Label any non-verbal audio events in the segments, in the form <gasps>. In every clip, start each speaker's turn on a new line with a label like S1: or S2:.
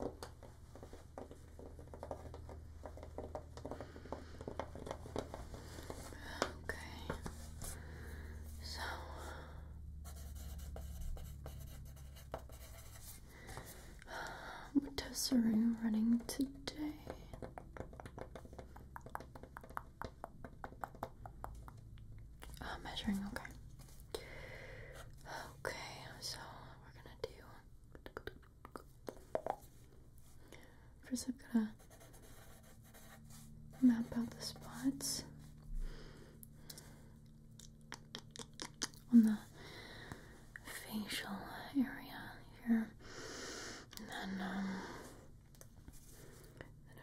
S1: Okay, so what running today? Uh, measuring, okay. Okay, so we're gonna do. First, I'm gonna map out the spots on the facial area here, and um, then,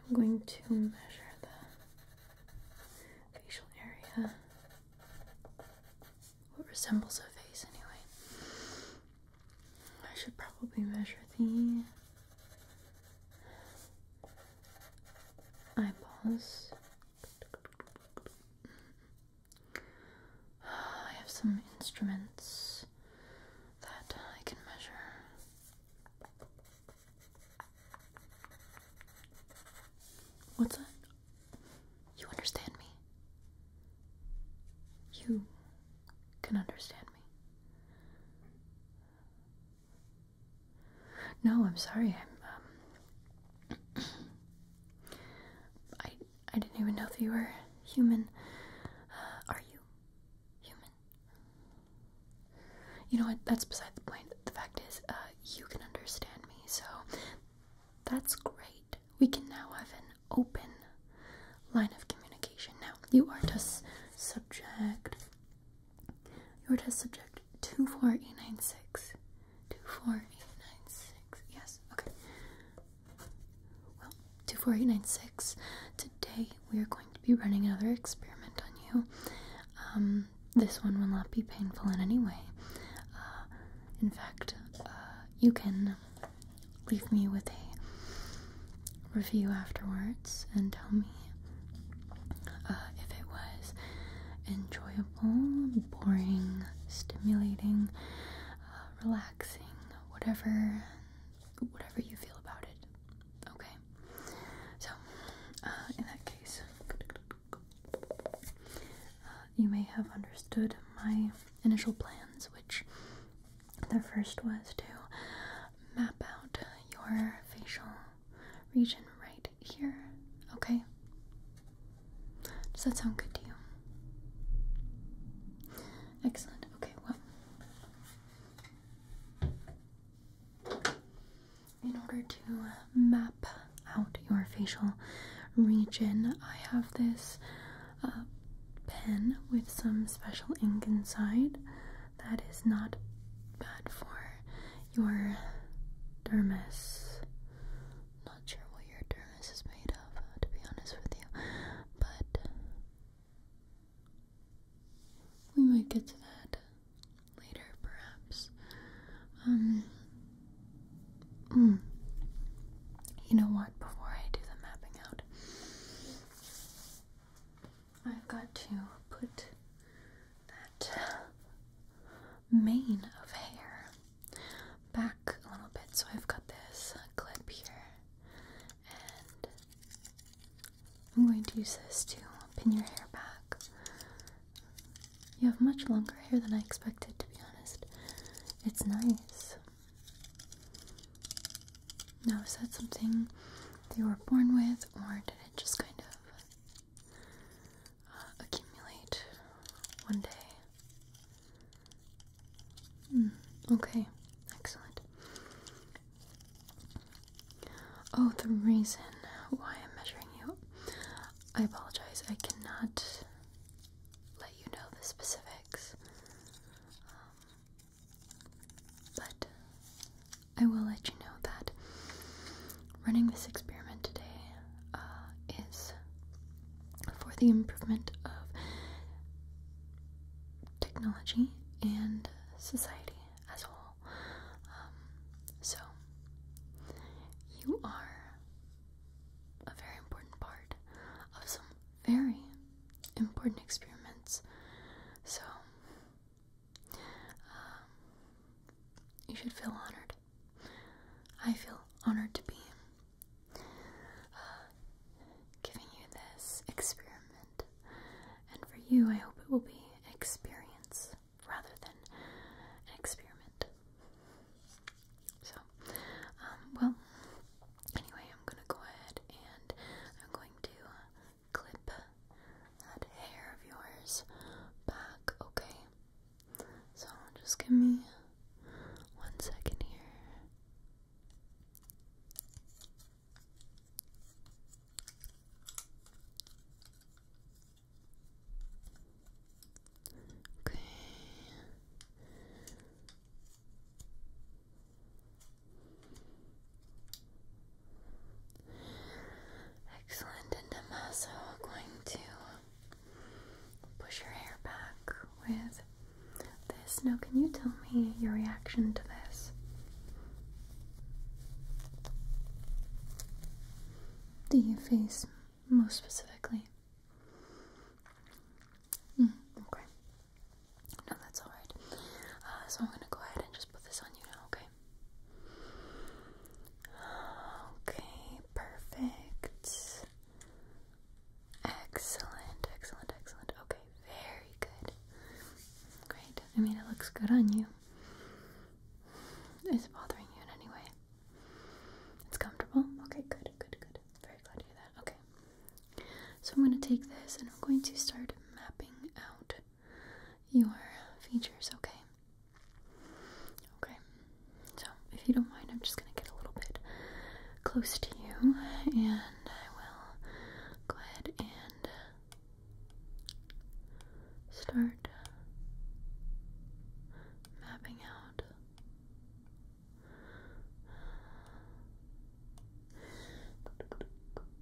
S1: I'm going to measure the facial area what resembles a face anyway. I should probably measure the eyeballs. I have some instruments that I can measure. What's that? You understand me. You can understand me. No, I'm sorry. i um <clears throat> I I didn't even know that you were human. Uh, are you human? You know what? That's beside the point. The fact is, uh you can understand me. So that's great. We can now have an open line of communication. Now, you are test subject. You are test subject 24896. 24896. Yes, okay. Well, 24896. Today we are going to be running another experiment on you. Um, this one will not be painful in any way. Uh, in fact, uh, you can leave me with a review afterwards and tell me uh, if it was enjoyable, boring, stimulating, relaxing, whatever, whatever you feel about it. Okay. So, in that case, uh, you may have understood my initial plans, which the first was to map out your facial region right here, okay? Does that sound good to you? Excellent. Okay, well, in order to map out your facial region, I have this uh, pen with some special ink inside that is not bad for your dermis. Not sure what your dermis is made of, uh, to be honest with you, but we might get to that later, perhaps. Um, hmm. you know what? Before I do the mapping out, I've got to put that mane of hair back a little bit. So I've got this clip here, and I'm going to use this to pin your hair back you have much longer hair than I expected, to be honest. It's nice. Now, is that something that you were born with, or did it just kind of uh, accumulate one day? Mm, okay, excellent. Oh, the reason why I'm measuring you. I apologize. I cannot let you know the specifics. Um, but I will let you know that running this experiment today uh, is for the improvement of technology and society as a whole. Um, so, you are a very important part of some very important experiments. So, um, you should feel honored. I feel honored to be uh, giving you this experiment, and for you, I hope it will be experience rather than an experiment. So, um, well, anyway, I'm gonna go ahead and I'm going to clip that hair of yours back, okay? So, just give me one second here. Okay. Excellent, and I'm also going to push your hair back with this. Now, can you tell me your reaction to this? Do you face most specifically. Mm, okay. No, that's alright. Uh, so I'm gonna go ahead and just put this on you now, okay? Okay, perfect. Excellent, excellent, excellent. Okay, very good. Great. I mean, it looks good on you. Is it bothering you in any way? It's comfortable? Okay, good, good, good. Very glad to hear that. Okay. So I'm going to take this and I'm going to start mapping out your features, okay? Okay. So if you don't mind, I'm just going to get a little bit close to you and I will go ahead and start mapping out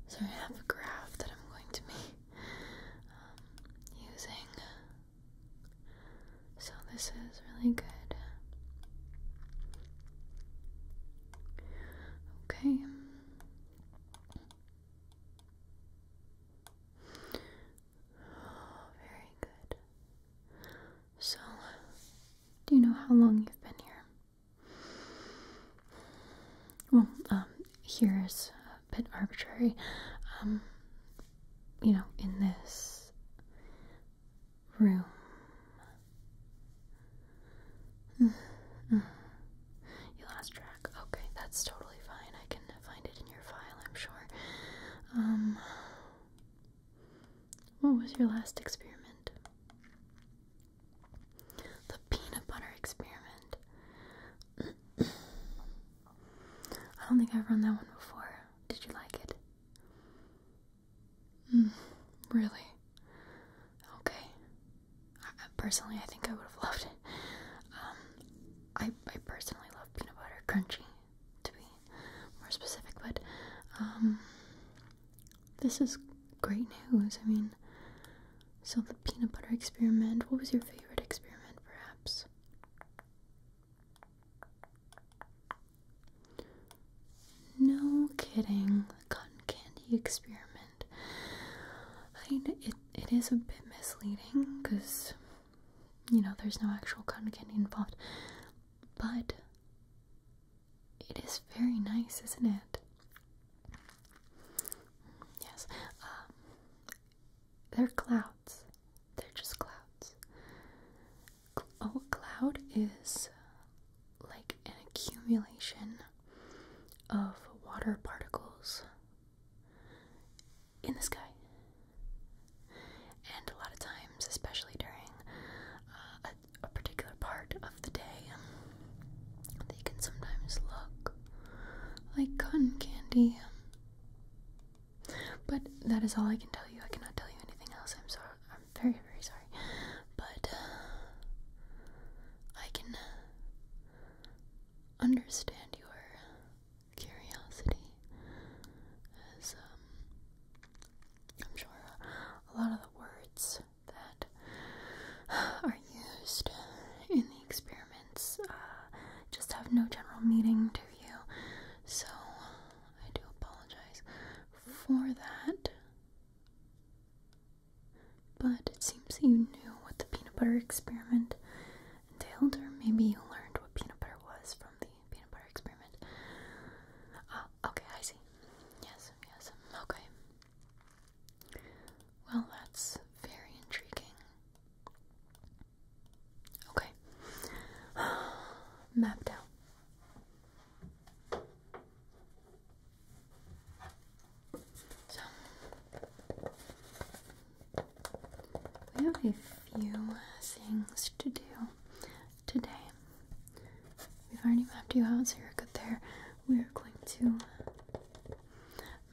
S1: so I have a graph that I'm going to be um, using so this is really good okay <gasps> very good. So, do you know how long you've been here? Well, um, here is a bit arbitrary. Um, you know, in this room. Mm, mm. You lost track. Okay, that's totally fine. I can find it in your file, I'm sure. Um, what was your last experiment? The peanut butter experiment. <clears throat> I don't think I've run that one before. Did you like it? Mm, really? Okay. personally, I think I would have loved it. Um, I, I personally love peanut butter crunchy, to be more specific, but um, this is great news. I mean, so the peanut butter experiment, what was your favorite experiment, perhaps? No kidding, the cotton candy experiment. I mean, it, it is a bit misleading because you know, there's no actual cotton candy involved. But it is very nice, isn't it? Yes. Um, they're clouds. They're just clouds. Oh, a cloud is like an accumulation of water particles in the sky. And a lot of times, especially during uh, a, particular part of the day, um, they can sometimes look like cotton candy. Um. But that is all I can tell you. I cannot tell you anything else. I'm sorry. I'm very, very sorry. But uh, I can uh, understand your curiosity, as um, I'm sure a lot of the words that are used in the experiments uh, just have no general meaning to you, so I do apologize for that. But it seems that you knew what the peanut butter experiment Tailed or maybe you learned what peanut butter was from the peanut butter experiment. Ah, okay, I see. Yes, yes, okay. Well, that's very intriguing. Okay. <gasps> Mapped out. So, we have a few things to do today. We've already mapped you out, so you're good there. We are going to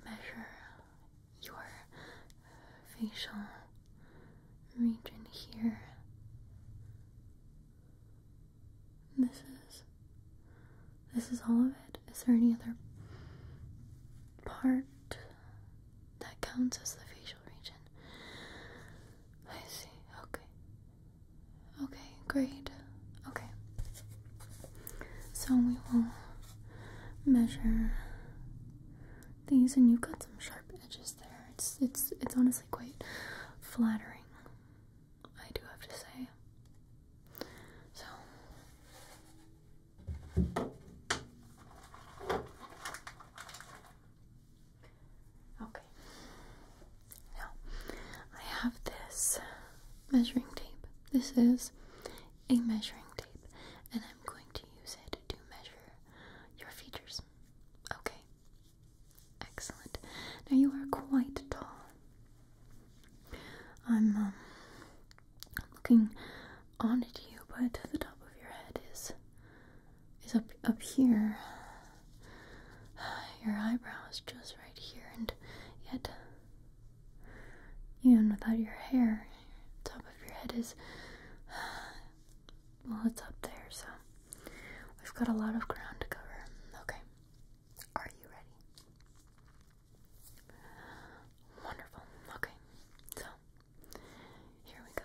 S1: measure your facial region here. This is this is all of it. Is there any other part that counts as the facial region. I see. Okay. Okay, great. Okay. So we will measure these and you've got some sharp edges there. It's it's it's honestly quite flattering. I do have to say. So Okay. Now, I have this measuring tape. This is a measuring tape, and I'm going to use it to measure your features. Okay. Excellent. Now, you are quite tall. I'm, um, looking on at you, but the top of your head is is up up here. <sighs> Your eyebrow is just right here, and yet even without your hair, the top of your head is <sighs> well, it's up there. So we've got a lot of ground to cover. Okay, are you ready? Wonderful. Okay, so here we go.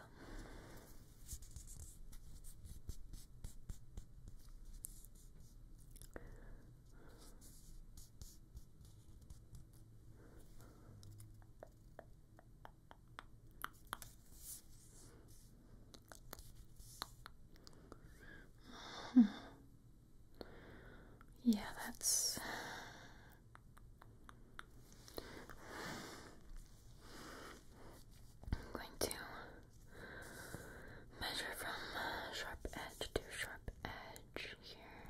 S1: Hmm. yeah, that's I'm going to measure from uh, sharp edge to sharp edge here.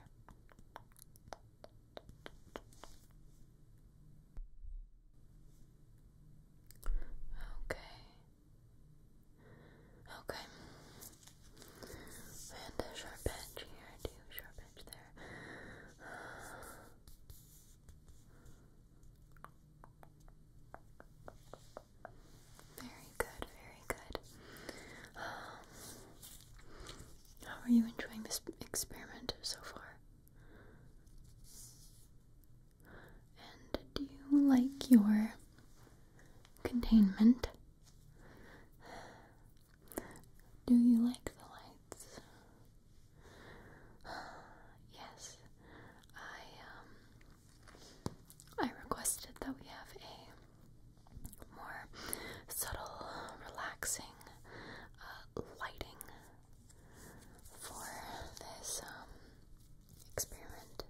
S1: Okay. Okay. And sharp edge here, too. Sharp edge there. Very good, very good. Um, how are you enjoying this experiment so far? And do you like your containment? Do you like the lights? <sighs> yes, I um I requested that we have a more subtle, relaxing uh, lighting for this um experiment.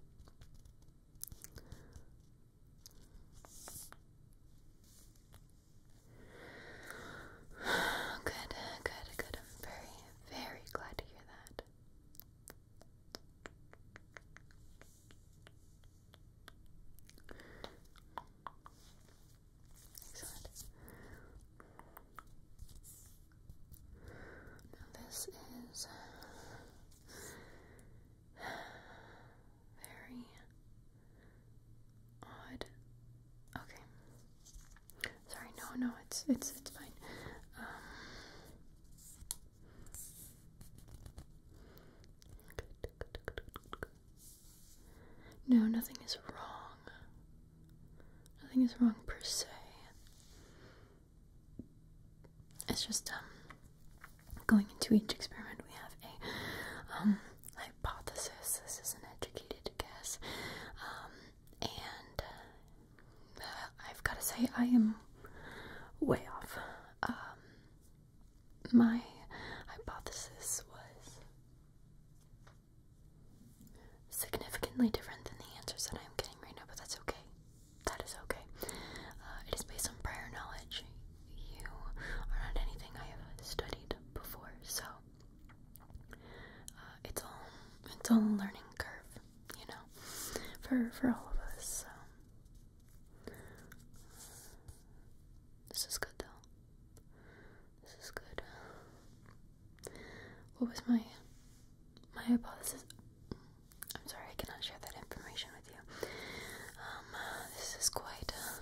S1: <sighs> Good, good, good. I'm very, very glad to hear that. Excellent. Now this is uh, very odd. Okay. Sorry, no, no, it's it's it's fine. Um, no, nothing is wrong. Nothing is wrong per se. It's just um going into each experiment we have a um hypothesis. This is an educated guess. Um, and uh, I've got to say, I am way off. Um, my hypothesis was significantly different than the answers that I'm getting right now, but that's okay. That is okay. Uh, it is based on prior knowledge you are not anything I have studied before, so uh, it's all it's all learning curve, you know, for for all of us. So this is good though. This is good. What was my my hypothesis? I'm sorry, I cannot share that information with you. Um, this is quite uh,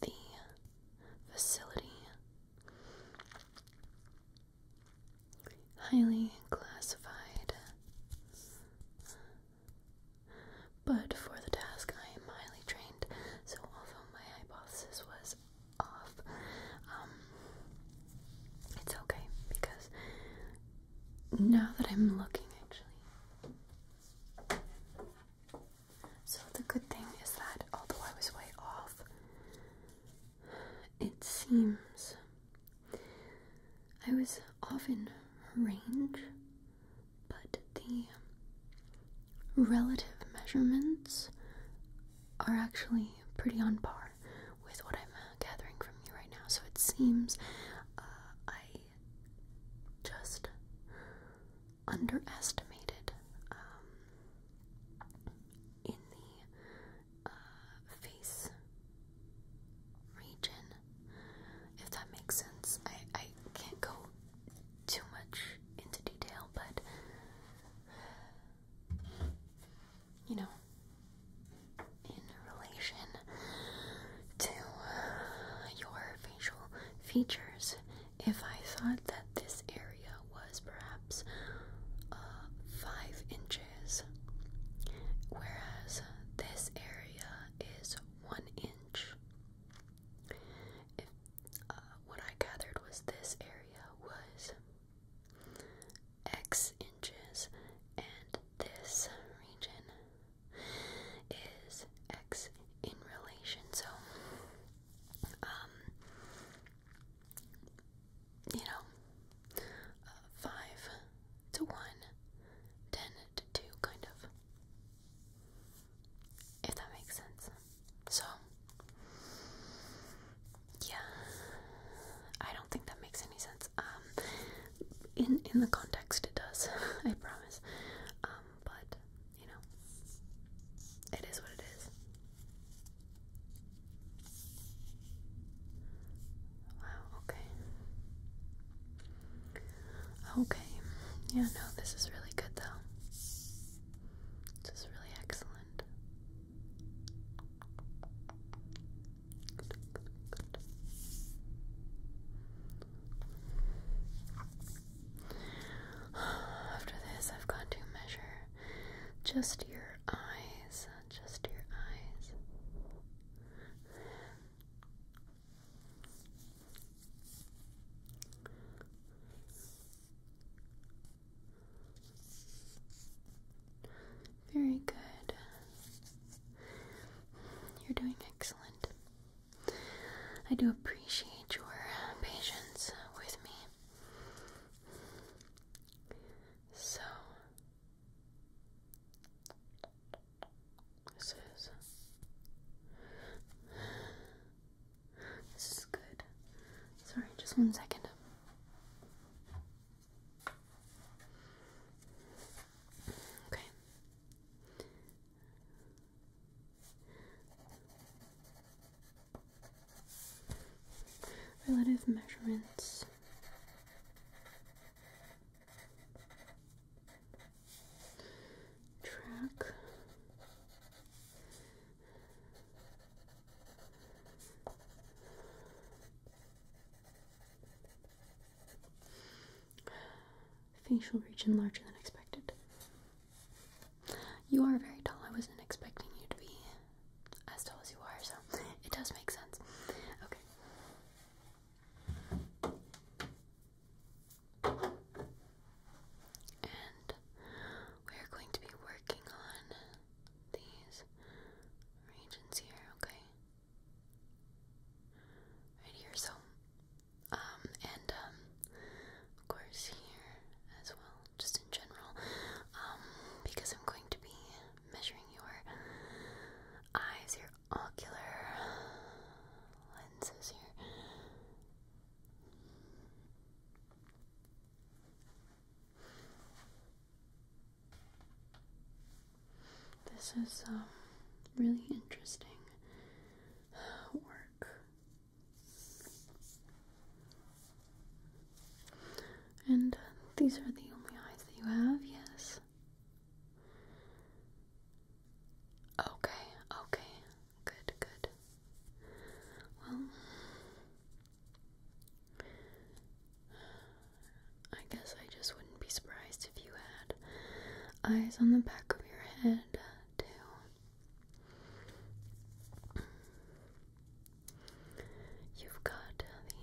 S1: the facility highly classified but for the task I am highly trained so although my hypothesis was off um, it's okay because now that I'm looking actually so the good thing is that although I was way off, it seems I was off in range, but the relative measurements are actually pretty on par with what I'm gathering from you right now. So it seems uh, I just underestimated um, in the uh, face region, if that makes sense. I, I can't go too much into detail, but you know, in relation to your facial features if I thought that this area was perhaps uh, five inches, whereas this area is one inch. Uh, what I gathered was this area was X inches and this region is X in relation. So, um, you know, 5 to 1, to 2, kind of. If that makes sense. So, yeah, I don't think that makes any sense. Um, in in the context, it does. <laughs> I promise. Um, but you know, it is what it is. Wow, okay. Okay. Yeah, no, this is really good though. This is really excellent. <sighs> After this, I've got to measure just your eyes, just your eyes. Very good. You're doing excellent. I do appreciate your uh, patience with me. So, this is this is good. Sorry, just one second. Okay. Relative measurements. Track facial region larger than expected. You are very tall. I wasn't expecting you to be as tall as you are, so it does make sense. Okay. And we're going to be working on these regions here, okay? Right here, so um, and, um, of course, here as well, just in general, um, because I'm going to be measuring your eyes, your ocular lenses here. This is um, really interesting work. And uh, these are the only eyes that you have, yes? Okay, okay. Good, good. Well, I guess I just wouldn't be surprised if you had eyes on the back of your You've got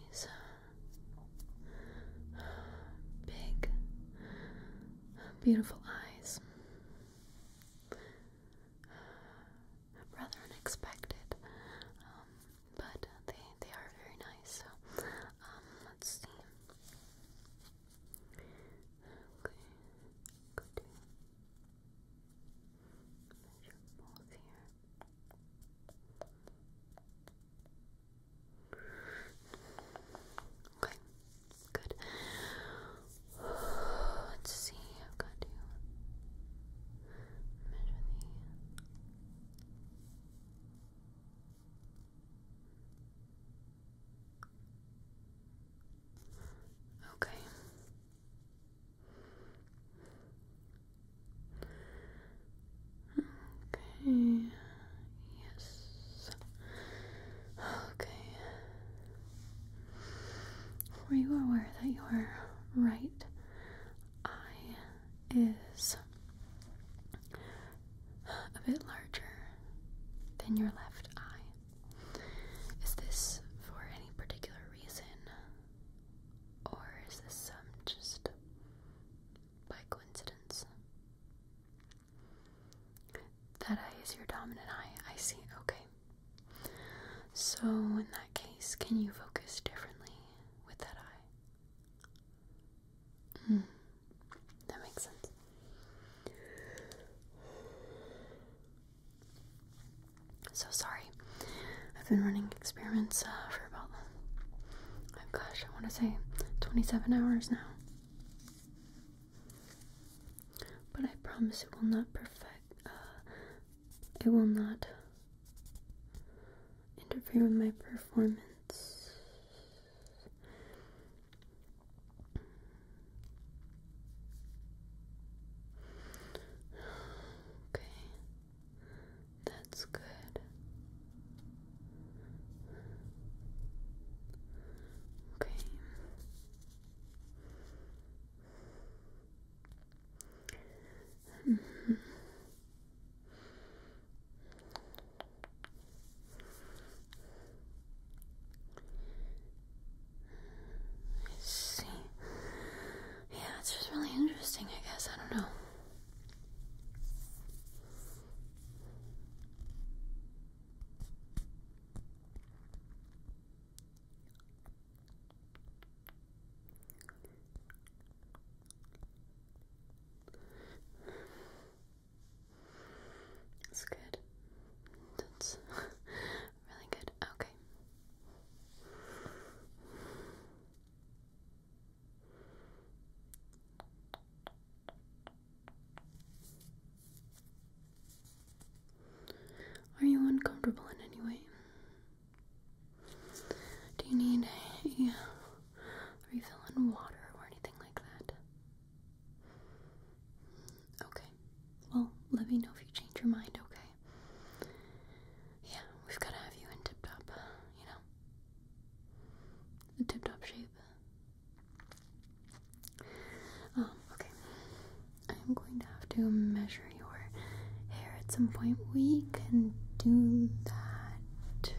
S1: these uh, big, beautiful eyes. Rather unexpected, um, but they they are very nice. So um, let's see. Okay, good. Measure both here. Okay, good. Let's see, I've got to measure the Okay. Okay. Yes. Okay. Were you aware that your right eye is a bit larger than your left eye. Is this for any particular reason? Or is this some um, just by coincidence? That eye is your dominant eye. I see. Okay. So, in that case, can you focus differently with that eye? Hmm. That makes sense. So sorry. I've been running experiments uh, for about, oh gosh, I want to say 27 hours now. But I promise it will not perfect, uh, it will not interfere with my performance. Okay, that's good. Okay. -hmm. I see. Yeah, it's just really interesting, I guess. I don't know. That's good. That's <laughs> really good. Okay. Are you uncomfortable in any way? Do you need a refill on water or anything like that? Okay. Well, let me know if you change your mind, okay? Yeah, we've got to have you in tip top, you know? In tip top shape. Um, okay. I'm going to have to measure your hair at some point. We can do that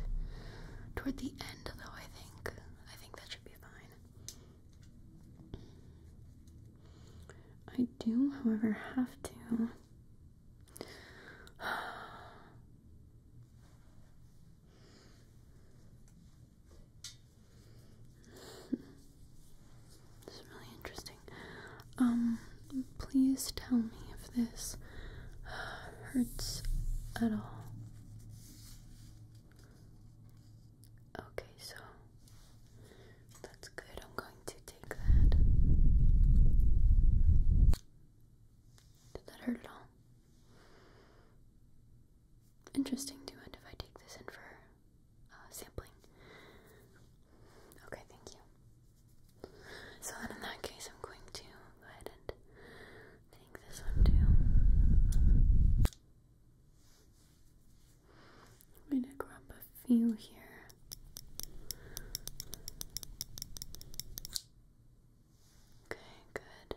S1: toward the end, though, I think. I think that should be fine. I do, however, have to. <sighs> this is really interesting. Um, please tell me if this <sighs> hurts at all. Okay, so that's good. I'm going to take that. Did that hurt at all? Interesting to end if I take this in for uh, sampling. Okay, thank you. So in that case, I'm going to go ahead and take this one too. I'm going to grab a few here. Okay, good.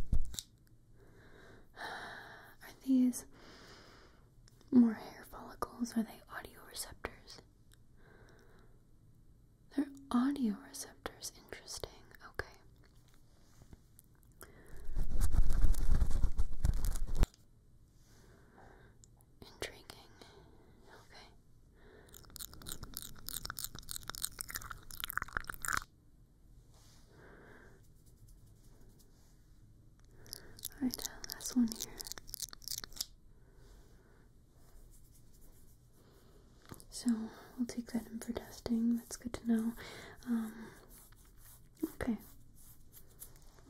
S1: <sighs> Are these more hair follicles? Are they audio receptors? Their audio receptors, interesting. Okay. Intriguing. Okay. Alright, last one here. So we'll take that in for testing. That's good to know. Um, okay.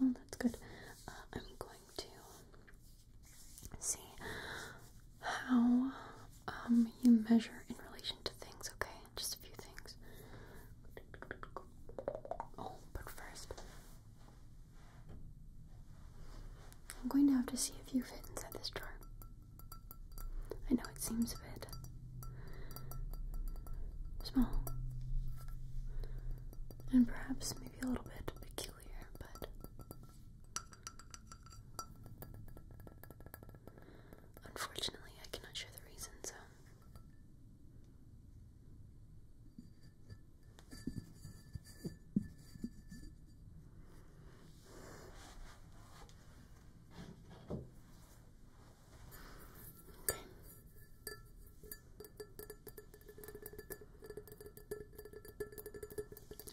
S1: Well, that's good. Uh, I'm going to see how um, you measure in relation to things, okay? Just a few things. Oh, but first, I'm going to have to see if you fit inside this drawer. I know it seems a bit small and perhaps maybe a little bit peculiar, but unfortunately, I cannot share the reason, so.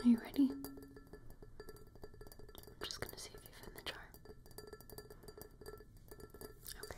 S1: Are you ready? I'm just going to see if you fit the jar. Okay.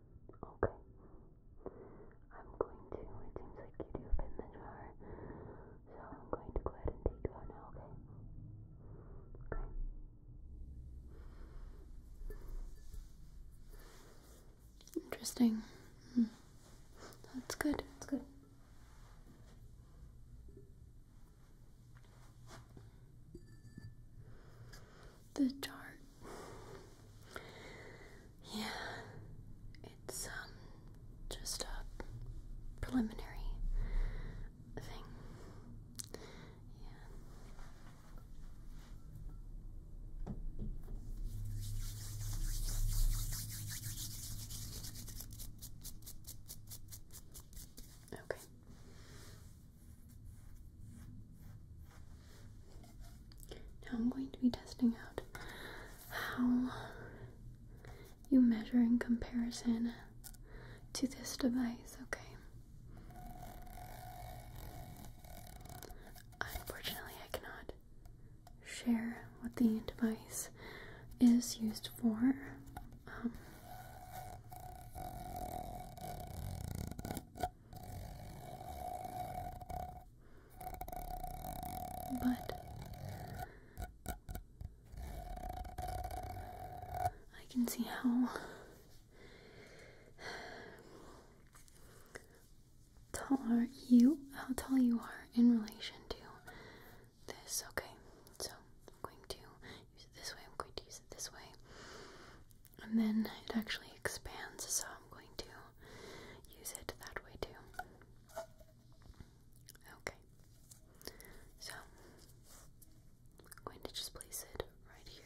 S1: Okay. I'm going to, it seems like you do fit the jar, so I'm going to go ahead and take you now, okay? Okay. Interesting. Hmm. That's good. That's good the chart. Yeah, it's um just a preliminary thing. Yeah. Okay. Now I'm going to be testing out how you measure in comparison to this device, okay? Unfortunately, I cannot share what the device is used for. Um, but I can see how tall you how tall you are in relation to this. Okay, so I'm going to use it this way, I'm going to use it this way and then it actually expands, so I'm going to use it that way too. Okay, so I'm going to just place it right here.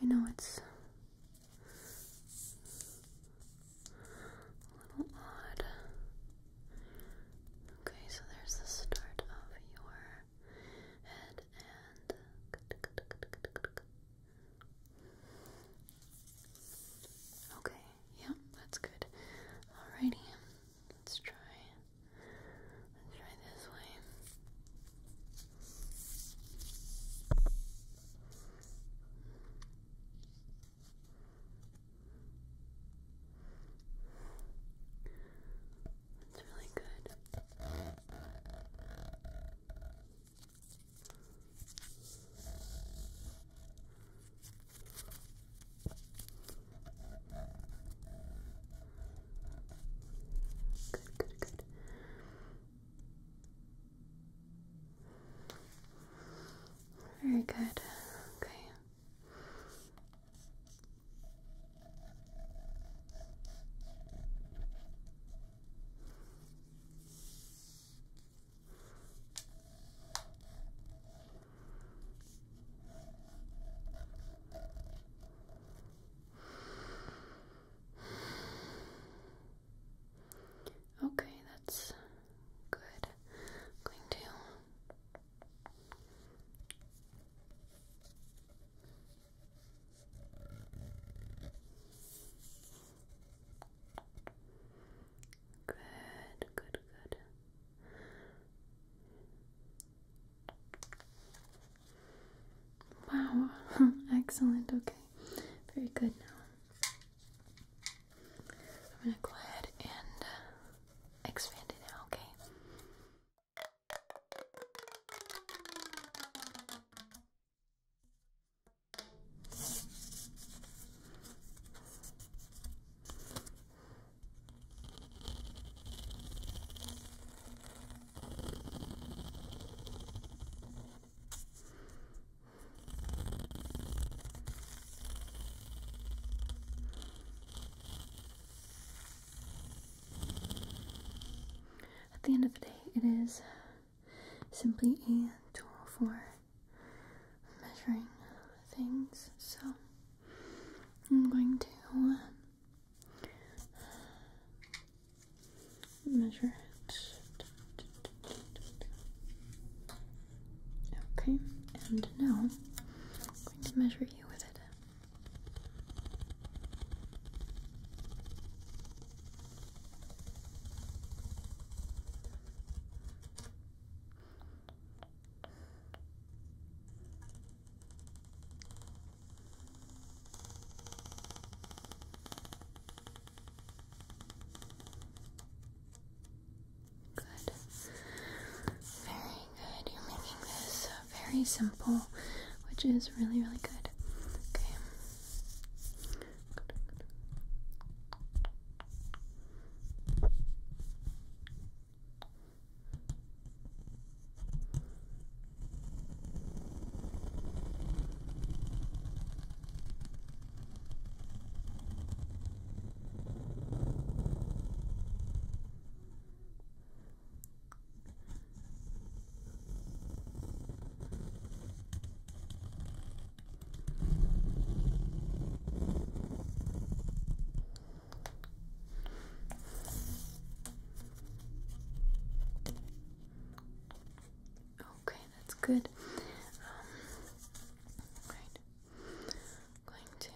S1: I know it's a little odd. Okay, so there's the start of your head and Okay, yeah, that's good. Alrighty, let's try let's try this way. It's really good. Good, good, good. Very good. Okay. Okay, that's good. going to Good, good, good. Wow, <laughs> excellent. Okay, very good now. I'm going to go ahead and uh, expand it now, okay? Okay. At the end of the day, it is simply a tool for measuring things, so I'm going to uh, measure it. Okay, and now I'm going to measure you with it. Good. Very good. You're making this uh, very simple, which is really, really good. Okay. Good. Okay, that's good. Um, right going to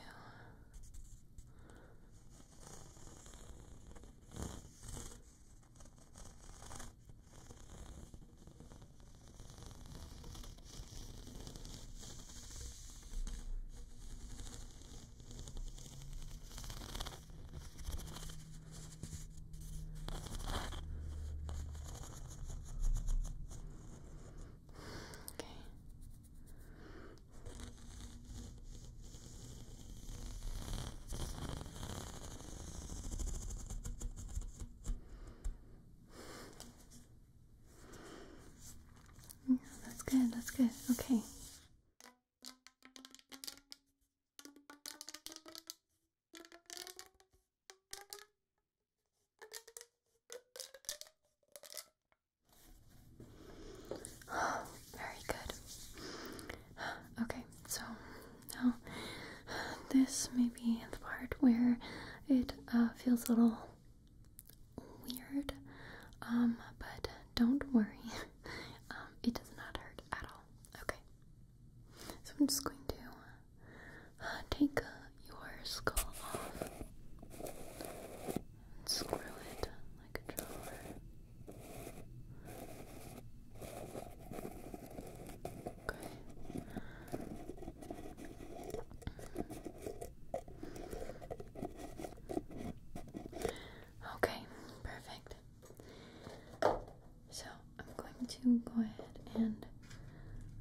S1: Okay. that's good, that's good. Okay. <sighs> Very good. <sighs> Okay, so now <sighs> this may be the part where it uh, feels a little weird, um, but don't worry, <laughs> um, it does not hurt at all. Okay, so I'm just going to uh, take your skull off. Screw it like a drawer. Okay. Okay, perfect. So I'm going to go ahead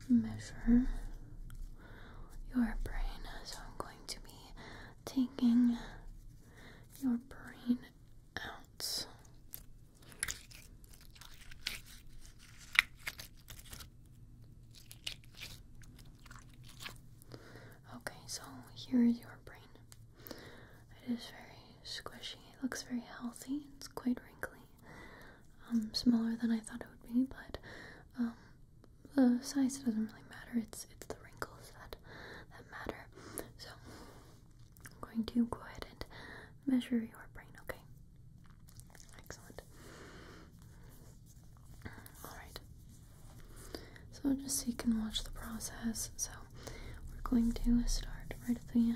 S1: and measure your brain. So I'm going to be taking your brain out. Okay, so here is your brain. It is very squishy. It looks very healthy. It's quite wrinkly. Um, smaller than I thought it would be, but um, the size doesn't really matter. It's it's the wrinkles that that matter. So I'm going to go ahead and measure your brain. Okay. Excellent. All right. So just so you can watch the process. So we're going to start right at the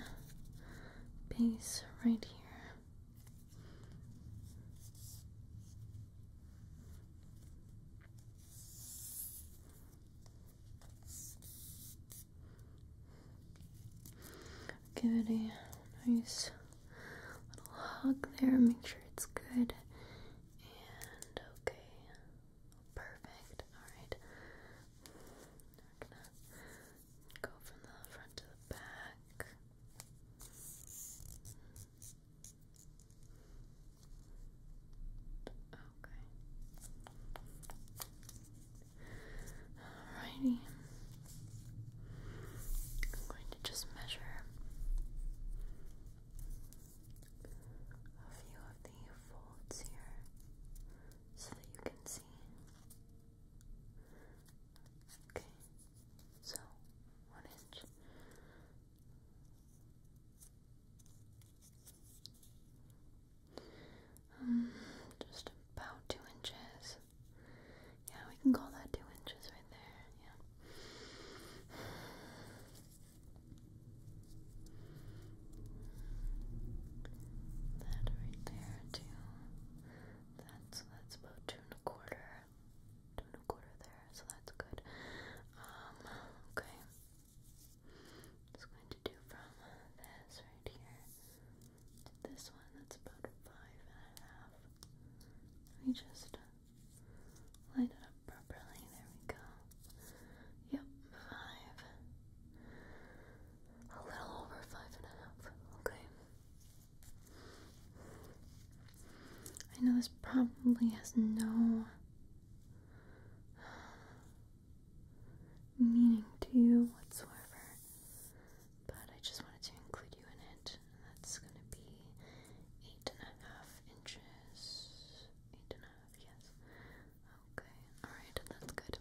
S1: base right here. Give it a nice little hug there, make sure it's good and okay. Perfect. Alright. go from the front to the back. Okay. Alrighty. I'm going to just measure a few of the folds here so that you can see. Okay. So, one inch. Um, just about two inches. Yeah, we can call that two inches right there. Yeah. That right there, too. That's, that's about two and a quarter two a quarter there, so that's good. Um, okay. Just going to do from this right here to this one. That's about five and a half. Let just line it up properly. There we go. Yep, five. A little over five and a half. Okay. I know this probably has no meaning to you whatsoever, but I just wanted to include you in it. that's going to be eight and a half inches. Eight and a half, yes. Okay, alright, that's good.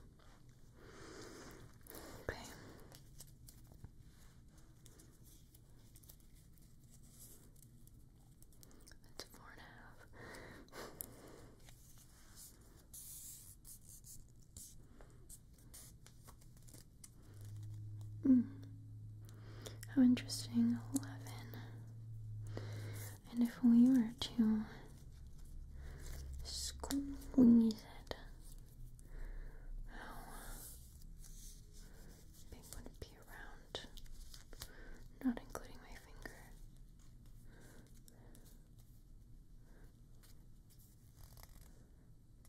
S1: Okay. That's four and a half. mm. How interesting, eleven. And if we were to squeeze it, oh. Maybe want to be around, not including my finger.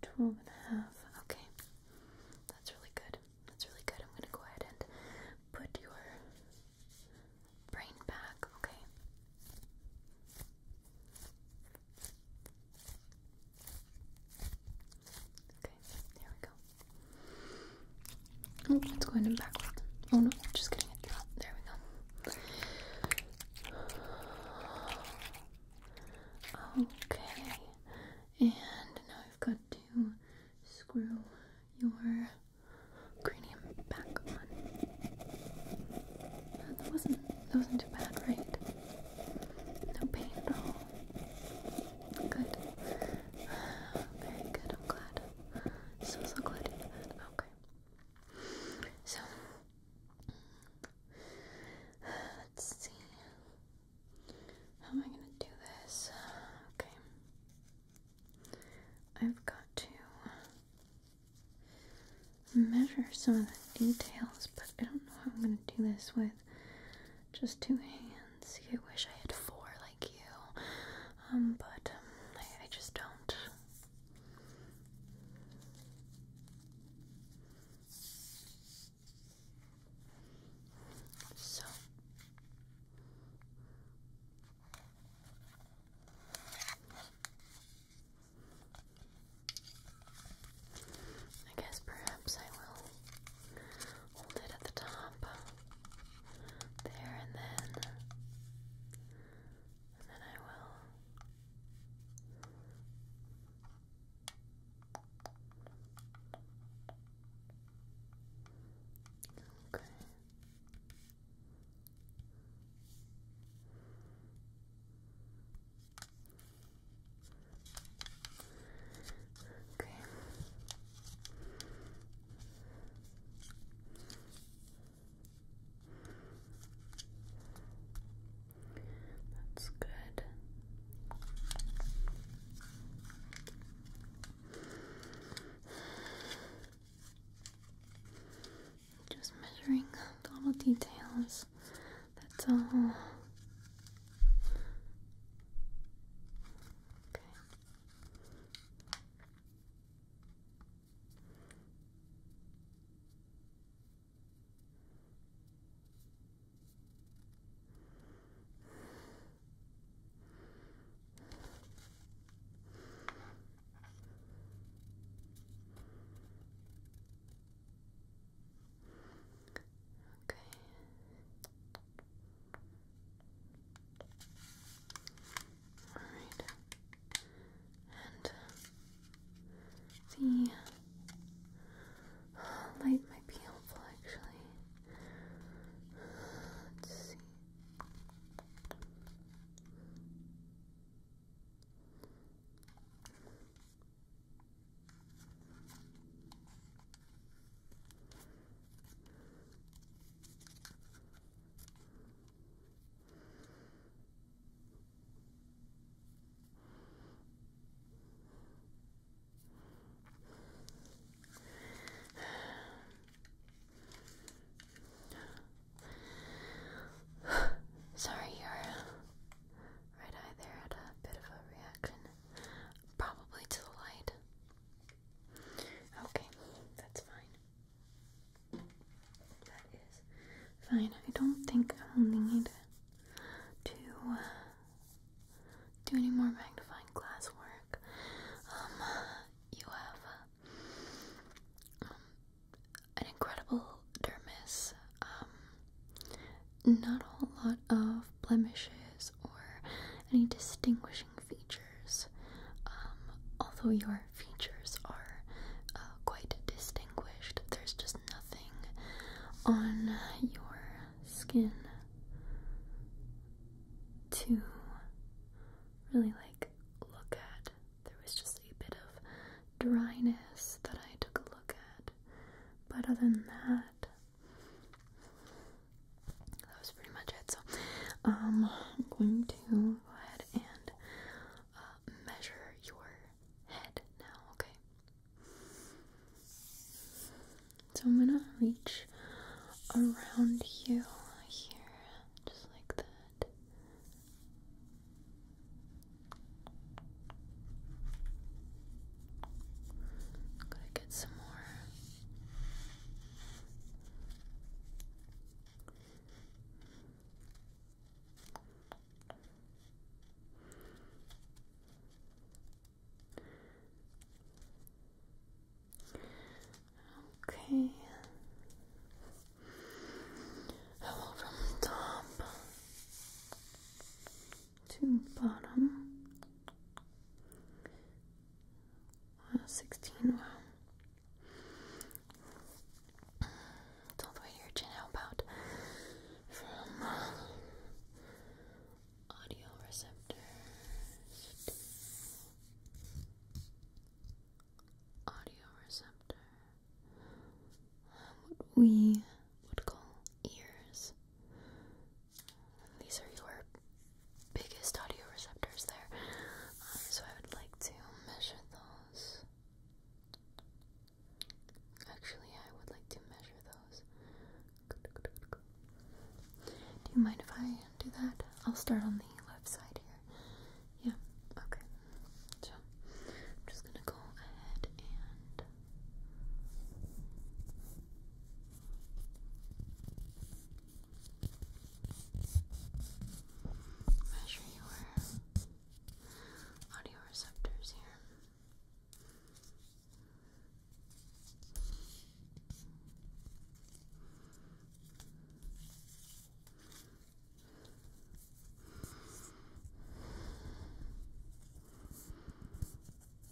S1: Twelve and a half. Okay, that's really good. That's really good. I'm gonna go ahead and put your brain back. Okay. Okay, there we go. Oh, it's going backwards. Oh no, just kidding. It dropped. There we go. Okay, and now I've got to screw your cranium back on. That wasn't that wasn't too bad, right? No pain at all. Good. Very good, I'm glad. So, so glad you did that. Okay. So, let's see. How am I gonna do this? Okay. I've got to measure some of the details, but I don't know how I'm gonna do this with just two hands. I wish I had four like you, um, but um, I just don't. So. I guess perhaps I will hold it at the top. There and then. And then I will. Okay. Okay. That's good. Just measuring little details that's all. Okay. Okay. All right. And uh, the light might be helpful actually. Let's see. <sighs> Sorry, you right eye there had a bit of a reaction, probably to the light. Okay, that's fine. That is fine. I don't think I will need to uh, do any more magnifying glass work. Um, you have um, an incredible dermis. Um, not a lot of blemishes or any distinguishing features, um, although your features are uh, quite distinguished. There's just nothing on your skin to really like look at. There was just a bit of dryness that I took a look at, but other than that, that was pretty much it. So, um, I'm going to go ahead and uh, measure your head now, okay? So, I'm gonna reach around you here, just like that. I'm gonna get some more. Okay. I will from the top to bottom. Wow, uh, 16, wow. It's the way your chin. How from uh, audio receptors audio receptor? Um, we would call ears. These are your biggest audioreceptors there. Um, so I would like to measure those. Actually, I would like to measure those. Do you mind if I do that? I'll start on the left side here. Yeah, okay. So I'm just gonna go ahead and Measure your audio receptors here.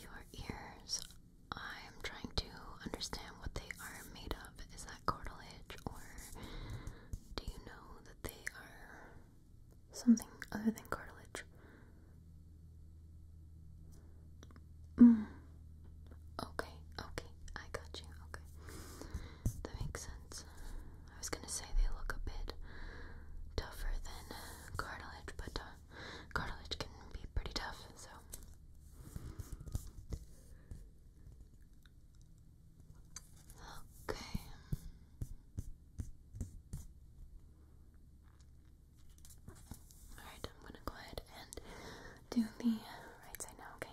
S1: Your ears. I'm trying to understand what they are made of. Is that cartilage, or do you know that they are something other than cartilage? Mm. Okay, okay, I got you. Okay. That makes sense. I was gonna say they look a bit tougher than cartilage, but uh, cartilage can be pretty tough, so. Okay. Alright, I'm gonna go ahead and do the right side now, okay?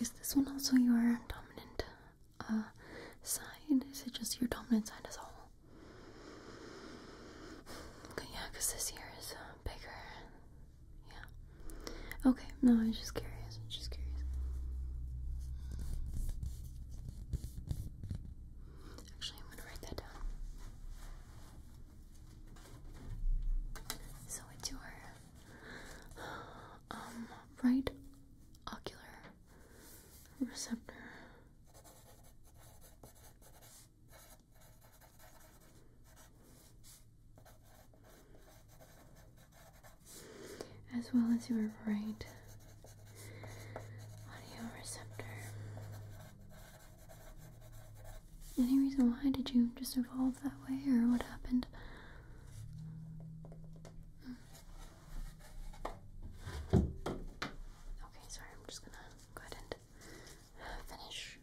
S1: Is this one also your dominant uh, side? Is it just your dominant side as a whole? Okay, yeah, because this here is is uh, bigger yeah. Okay, no, I was just curious. I was just curious. Actually, I'm gonna write that down. So it's your um right ocular receptor as well as your right audioreceptor. Any reason why did you just evolve that way, or what happened? Okay, sorry, I'm just gonna go ahead and finish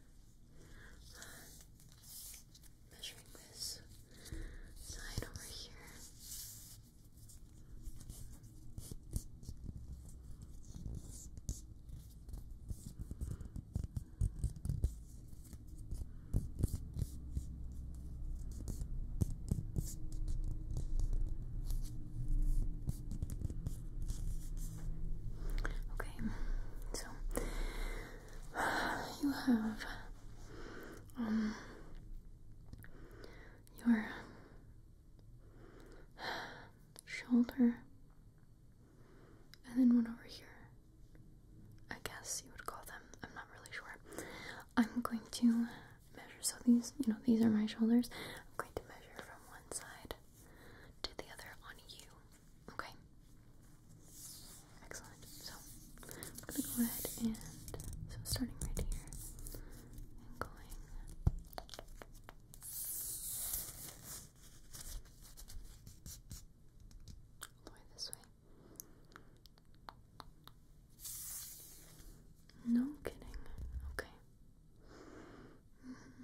S1: measuring this side over here. Okay, so <sighs> you have um your shoulder and then one over here. I guess you would call them. I'm not really sure. I'm going to measure so these, you know, these are my shoulders. I'm going to measure from one side to the other on you. Okay. Excellent. So I'm gonna go ahead and so starting right here going this way. No kidding. Okay. Mm-hmm.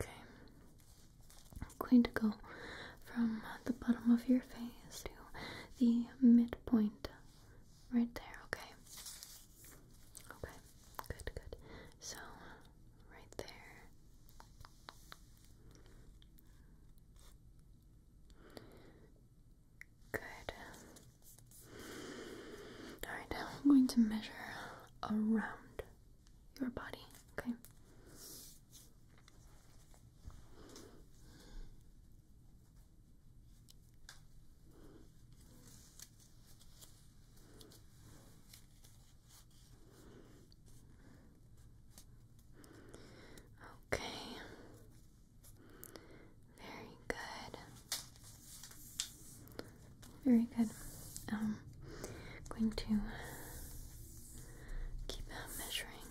S1: Okay. I'm going to go from the bottom of your face to the midpoint right there, okay? Okay, good, good. So, right there. Good. Alright, I'm going to measure around your body, okay? Okay. Very good. Very good. Um, going to keep measuring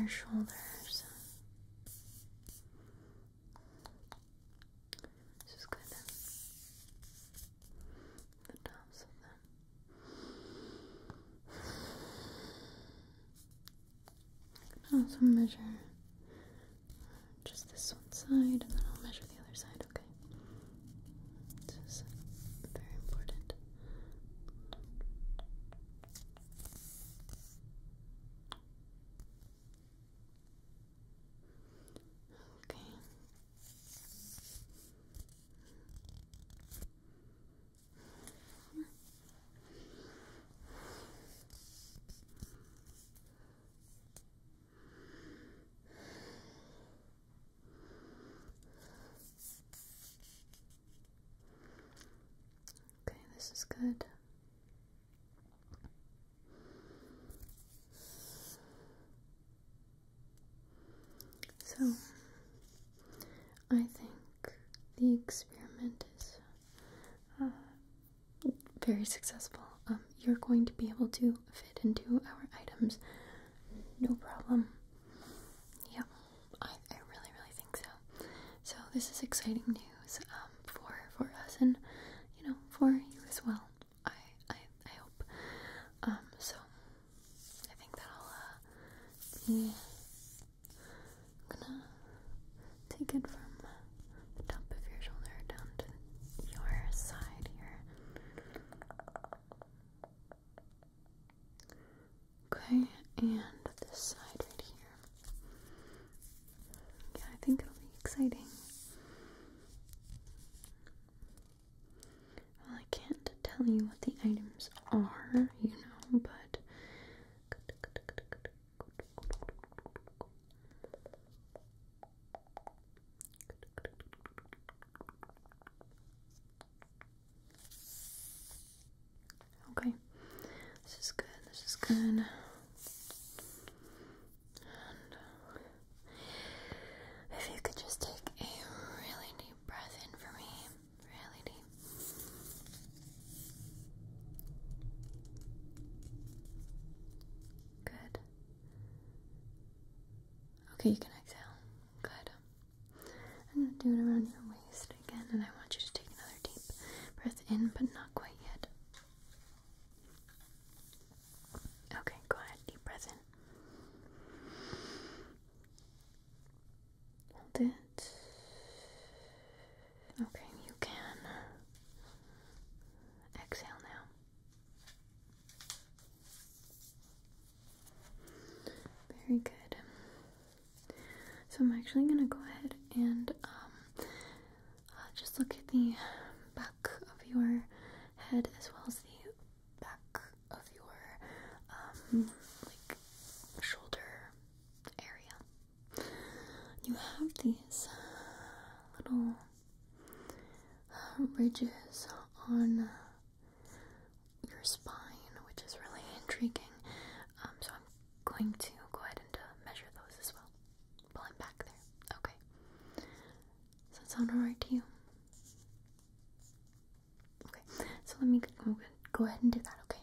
S1: your shoulders. This is good. The tops of them. also measure just this one side, and then I'll measure the other side, okay? This is very important. Okay. Okay, this is good. So, I think the experiment is uh, very successful. Um, you're going to be able to fit into our items, no problem. Yeah, I, I really, really think so. So this is exciting news um, for for us and you know for you as well. I I, I hope. Um, so I think that'll uh, be. gonna take it from the top of your shoulder down to your side here. Okay, and this side right here. Yeah, I think it'll be exciting. Well, I can't tell you what the items are, you know, but Okay, this is good, this is good. if you could just take a really deep breath in for me, really deep. Good. Okay, you can exhale. Good. I'm going to do it around your waist again, and I want you to take another deep breath in, but not quite yet. Okay, go ahead. Deep breath in. Hold it. Okay, you can uh, exhale now. Very good. So I'm actually going to go ahead and um, uh, just look at the back of your head as well as the back of your um, like shoulder area you have these uh, little uh, ridges on your spine, which is really intriguing. Um, so I'm going to go ahead and uh, measure those as well. Pulling back there. Okay. Does that sound alright to you? Okay. So let me go ahead and do that. Okay.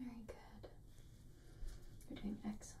S1: Very good. You're doing excellent.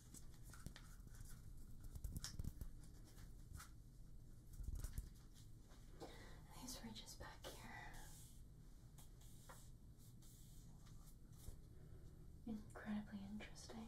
S1: These ridges back here. Incredibly interesting.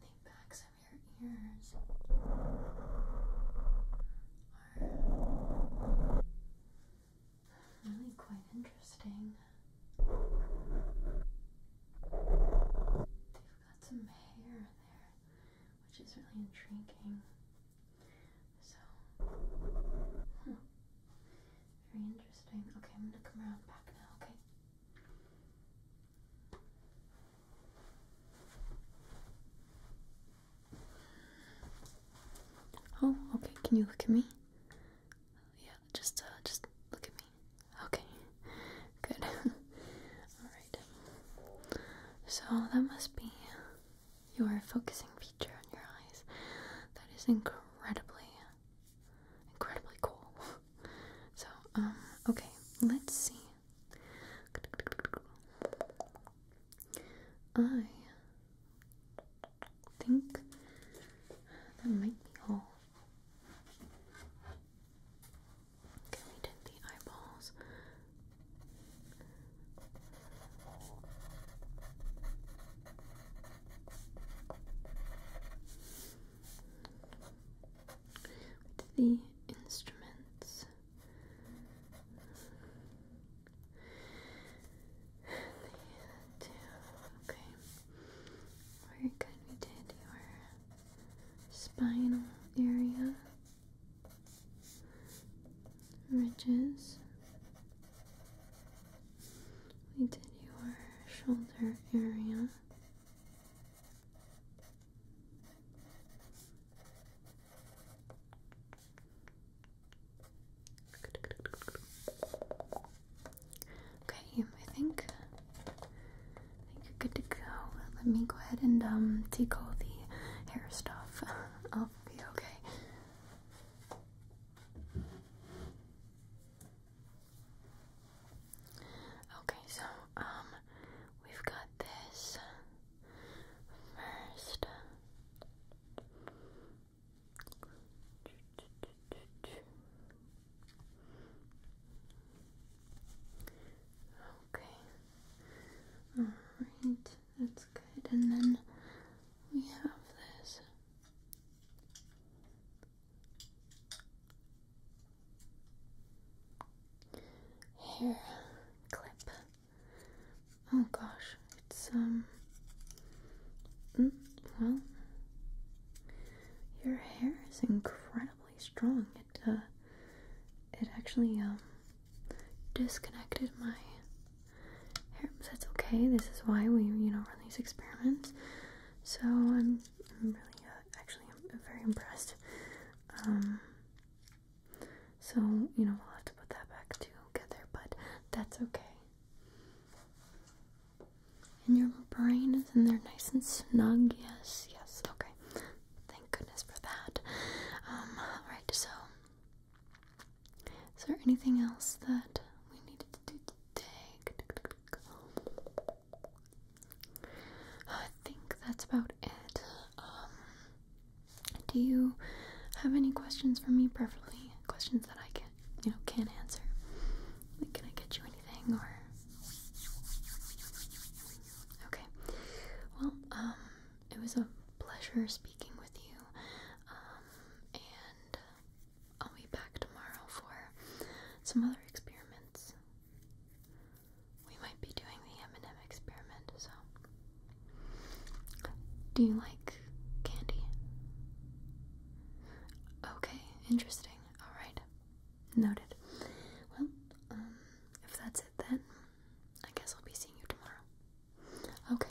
S1: The backs of your ears are really quite interesting. They've got some hair there, which is really intriguing. So, hmm. Very interesting. Okay, I'm gonna come around back now, okay? Oh, okay. Can you look at me? Yeah, just uh, just look at me. Okay, good. <laughs> All right. So that must be your focusing feature on your eyes. That is incredibly incredibly cool. <laughs> so, um, okay, let's see. I think that might be all. Okay, we did the eyeballs the instruments. okay. Very good. We did your spinal area, ridges, we did your shoulder area. Okay, I think I think you're good to go. Let me go ahead and um, take all the hair stuff I'll <laughs> be okay? Okay, so um we've got this first. Okay. All right. That's good. And then we have this hair clip. Oh gosh, it's um. Mm, well, your hair is incredibly strong. It uh, it actually um disconnected my that's okay. This is why we, you know, run these experiments. So I'm, I'm really, uh, actually, I'm very impressed. Um, so you know, we'll have to put that back together, but that's okay. And your brain is in there nice and snug, yes, yes, okay. Thank goodness for that. Um, alright, so is there anything else that we needed to do I think that's about it. Um, do you have any questions for me, preferably questions that I can, you know, can't answer? can I get you anything or? Okay. Well, um, it was a pleasure speaking with you. Um, and I'll be back tomorrow for some other experiments. We might be doing the M&M experiment, so. Do you like candy? Okay, interesting. Alright. Noted. Well, um, if that's it then, I guess I'll be seeing you tomorrow. Okay.